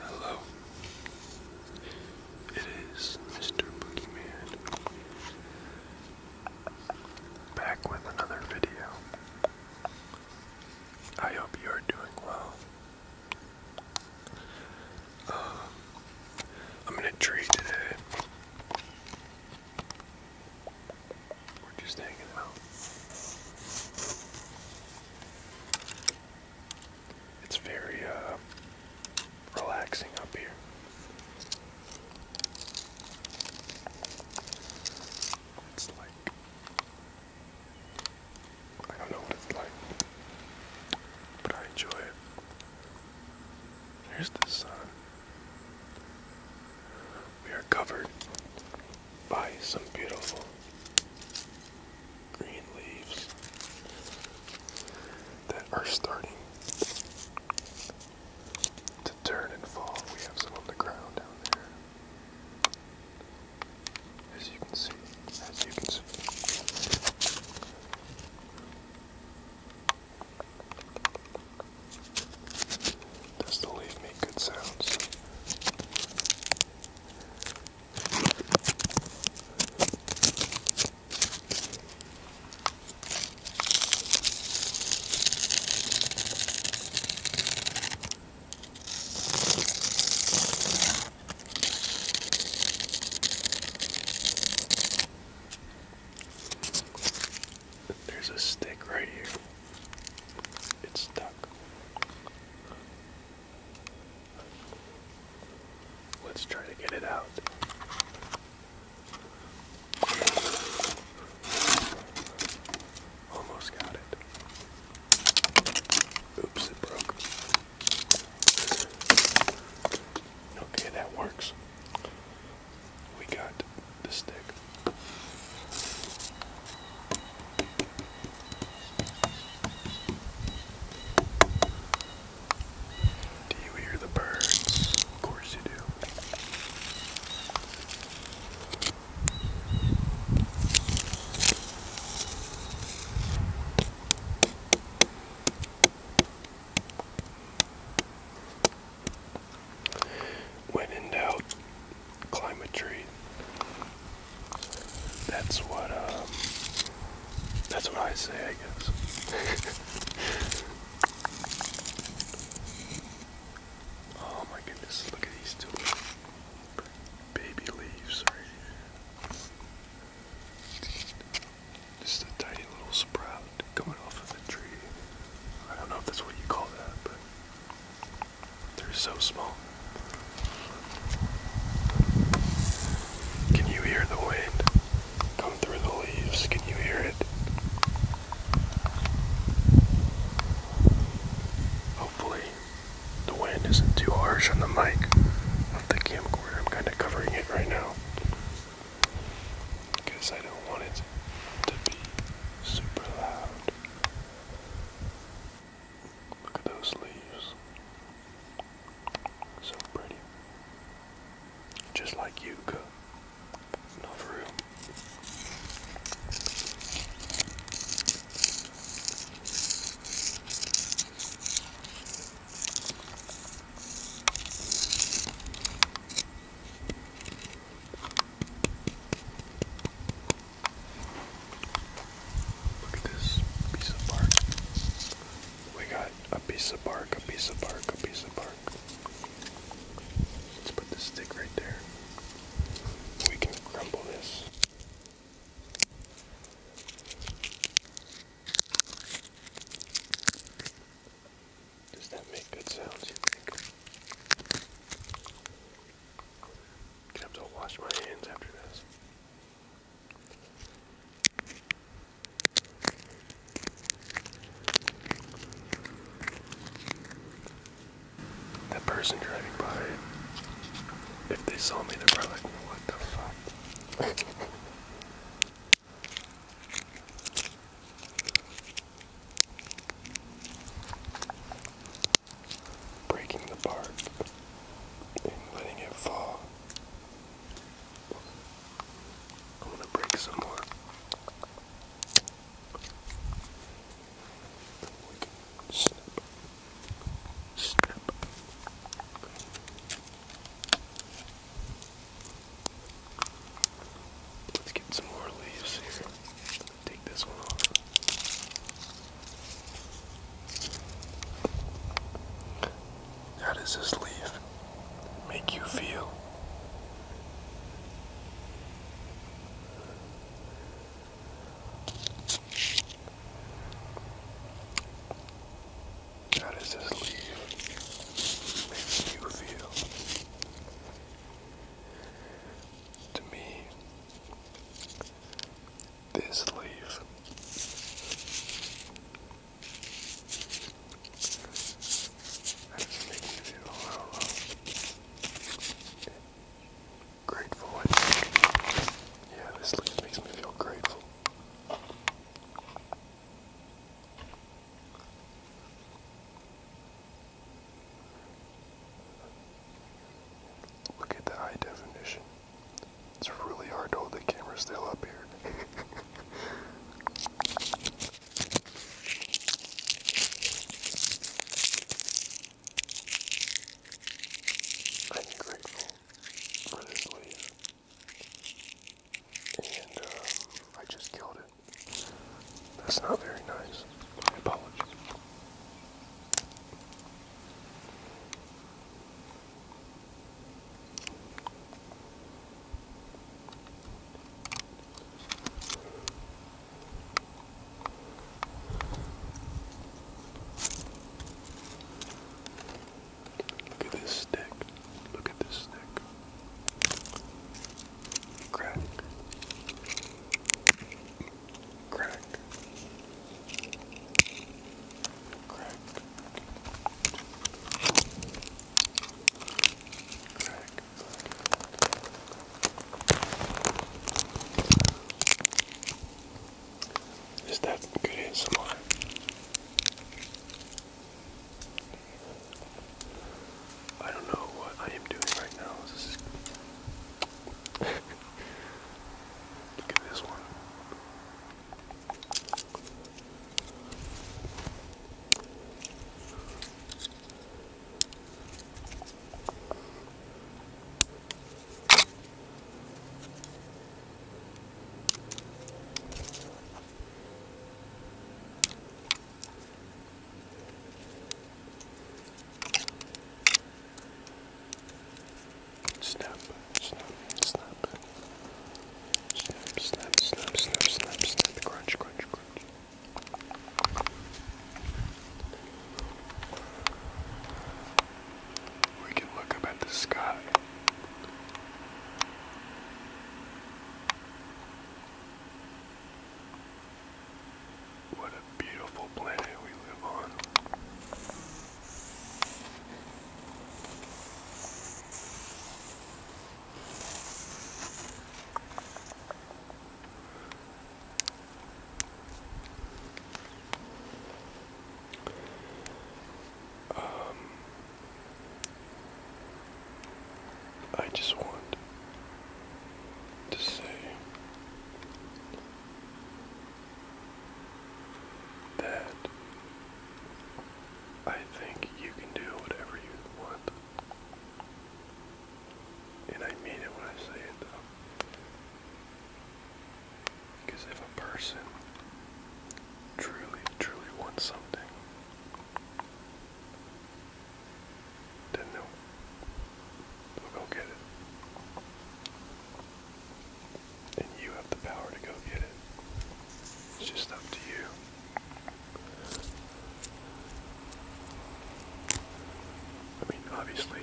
Hello. It is Mr. Boogeyman back with another video. I hope you are doing well. Um, I'm in a tree today. We're just hanging out. It's very uh, relaxing up here. It's like I don't know what it's like, but I enjoy it. There's the sun. We are covered by some beautiful green leaves that are starting to turn and fall. We have some on the ground down there. As you can see, as you can see. Does the leaf make good sounds? There's a stick right here. It's stuck. Let's try to get it out. Almost got it. Oops, it broke. Okay, that works. We got the stick. Do you hear the birds? Of course you do. When in doubt, climb a tree. That's what um, that's what I say, I guess. oh my goodness! Look at these two baby leaves right here. Just a tiny little sprout coming off of the tree. I don't know if that's what you call that, but they're so small. Can you hear the wind come through the leaves? Can you hear it? Hopefully, the wind isn't too harsh on the mic of the camcorder. I'm kind of covering it right now because I don't want it to be super loud. Look at those leaves. So pretty. Just like Yuka. Not for real. Look at this piece of bark. We got a piece of bark, a piece of bark, a piece of bark. Let's put the stick right there. We can crumble this. Does that make good sounds, you think? I to wash my hands after this. That person driving by, if they saw me, they're probably like, what the fuck? Breaking the bark and letting it fall. I'm going to break some more. We can snip. Snap. Let's get some more leaves here. Take this one off. How does this leaf make you feel? How this leave makes you feel? To me, this leaf how does it feel? I do grateful. Yeah, this makes me feel grateful. Look at the high definition. It's really hard to hold the camera still up here. I'm grateful. And um, I just killed it. That's not very nice. I apologize. Look at this stick. Look at this stick. Crack. Crack. Crack. Crack. Is that good ASMR? I don't know what I am doing right now. Look at this one. Snap, snap, snap. Snap, snap, snap, snap, snap, snap. Crunch, crunch, crunch. We can look up at the sky. What a beautiful planet we live on. Um, I just want to say that I think you can do whatever you want. And I mean it when I say it though. Because if a person truly, truly wants something, then they'll, go get it. And you have the power to go get it. It's just up to you. I mean, obviously,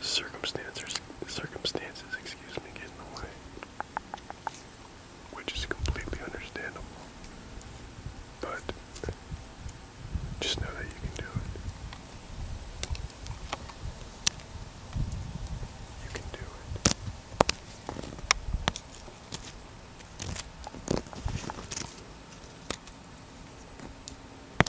circumstances, circumstances, excuse me, get in the way, which is completely understandable. But just know that you can do it. You can do it.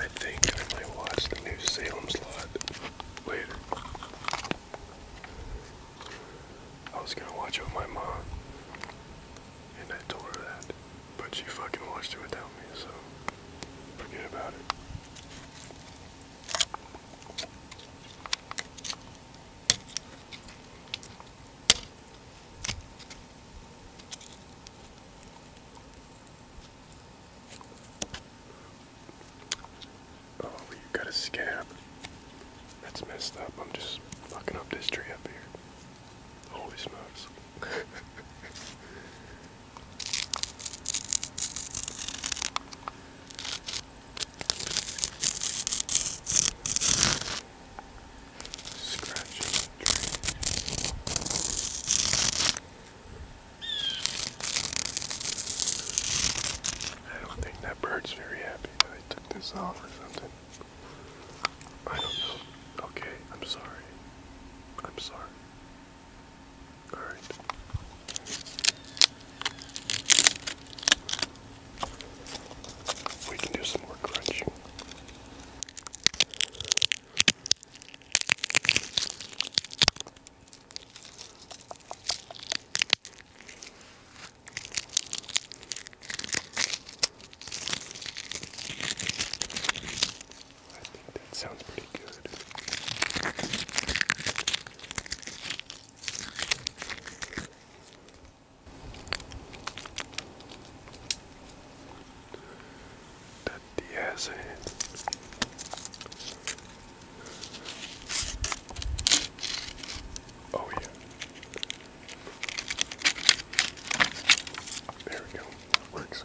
I think I might watch the new Salem's Lot later. I was gonna watch it with my mom, and I told her that, but she fucking watched it without me, so forget about it. Oh, we got a scab. That's messed up. I'm just fucking up this tree up here. Holy smokes. Scratching the I don't think that bird's very happy I took this off or something. I don't know. Okay, I'm sorry. I'm sorry. Alright. We can do some more crunching. I think that sounds pretty good. That's the answer. Oh yeah. There we go. Works.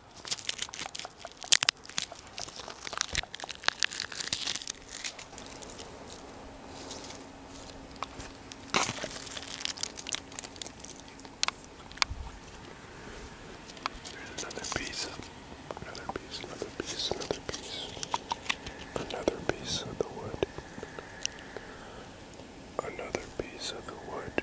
There's another piece, another piece, another piece, another piece, another piece of the wood, another piece of the wood.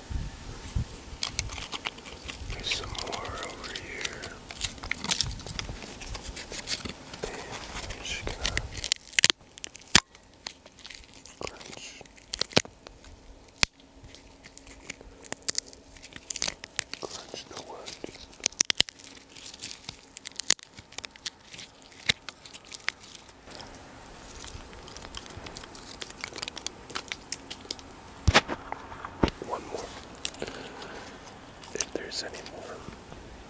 There's some more over here. And I'm just gonna crunch. Crunch the wood. One more. If there's any more,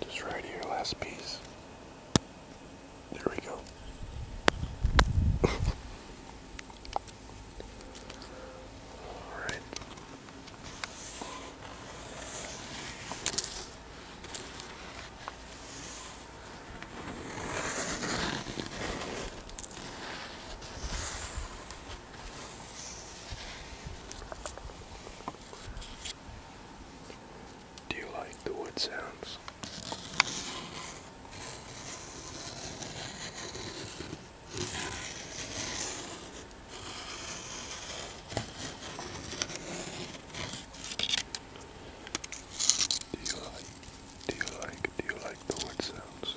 just right here, last piece. There we go. Alright. Do you like the wood sounds? Do you like do you like do you like the wood sounds?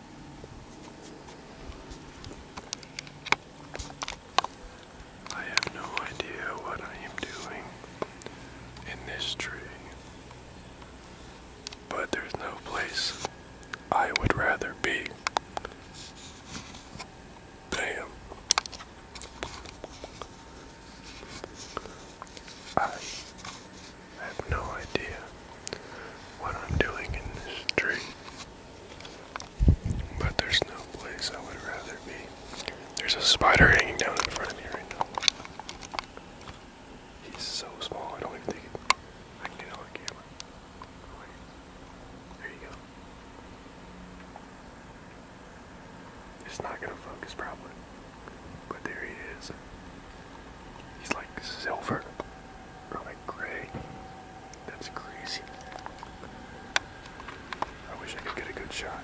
I have no idea what I am doing in this tree, but there's no place I would rather be. Damn. I I have no idea what I'm doing in this street. But there's no place I would rather be. There's a spider hanging down in front of me right now. He's so small, I don't even think I can get it There you go. It's not gonna focus properly. But there he is. He's like silver or like gray. That's crazy. I wish I could get a good shot.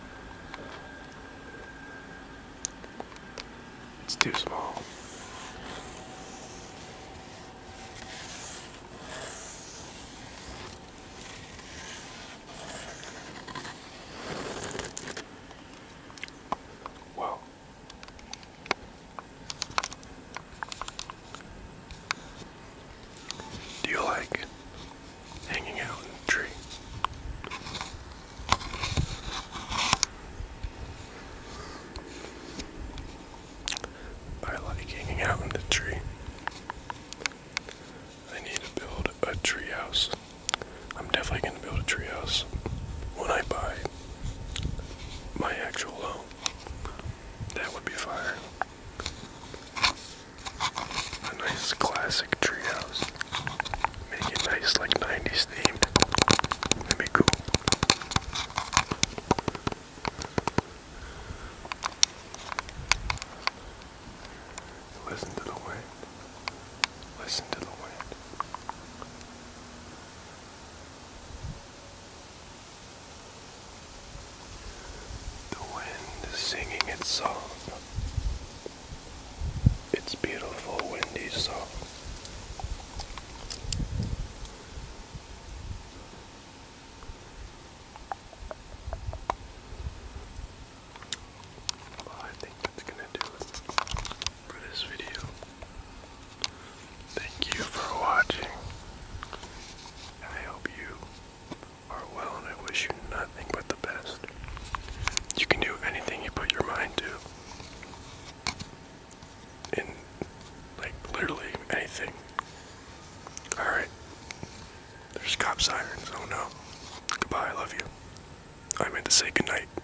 It's too small. Well, do you like hanging out in a tree? I like hanging out in the tree. I need to build a tree house. I'm definitely going to build a tree house when I buy my actual home. That would be fire. A nice classic treehouse. Make it nice, like 90s themed. That'd be Listen to the wind. Listen to the wind. The wind is singing its song. It's beautiful windy song. I think that's gonna do for this video. Thank you for watching, I hope you are well, and I wish you nothing but the best. You can do anything you put your mind to, in like literally anything. Alright, there's cop sirens, oh no. Goodbye, I love you. I meant to say goodnight.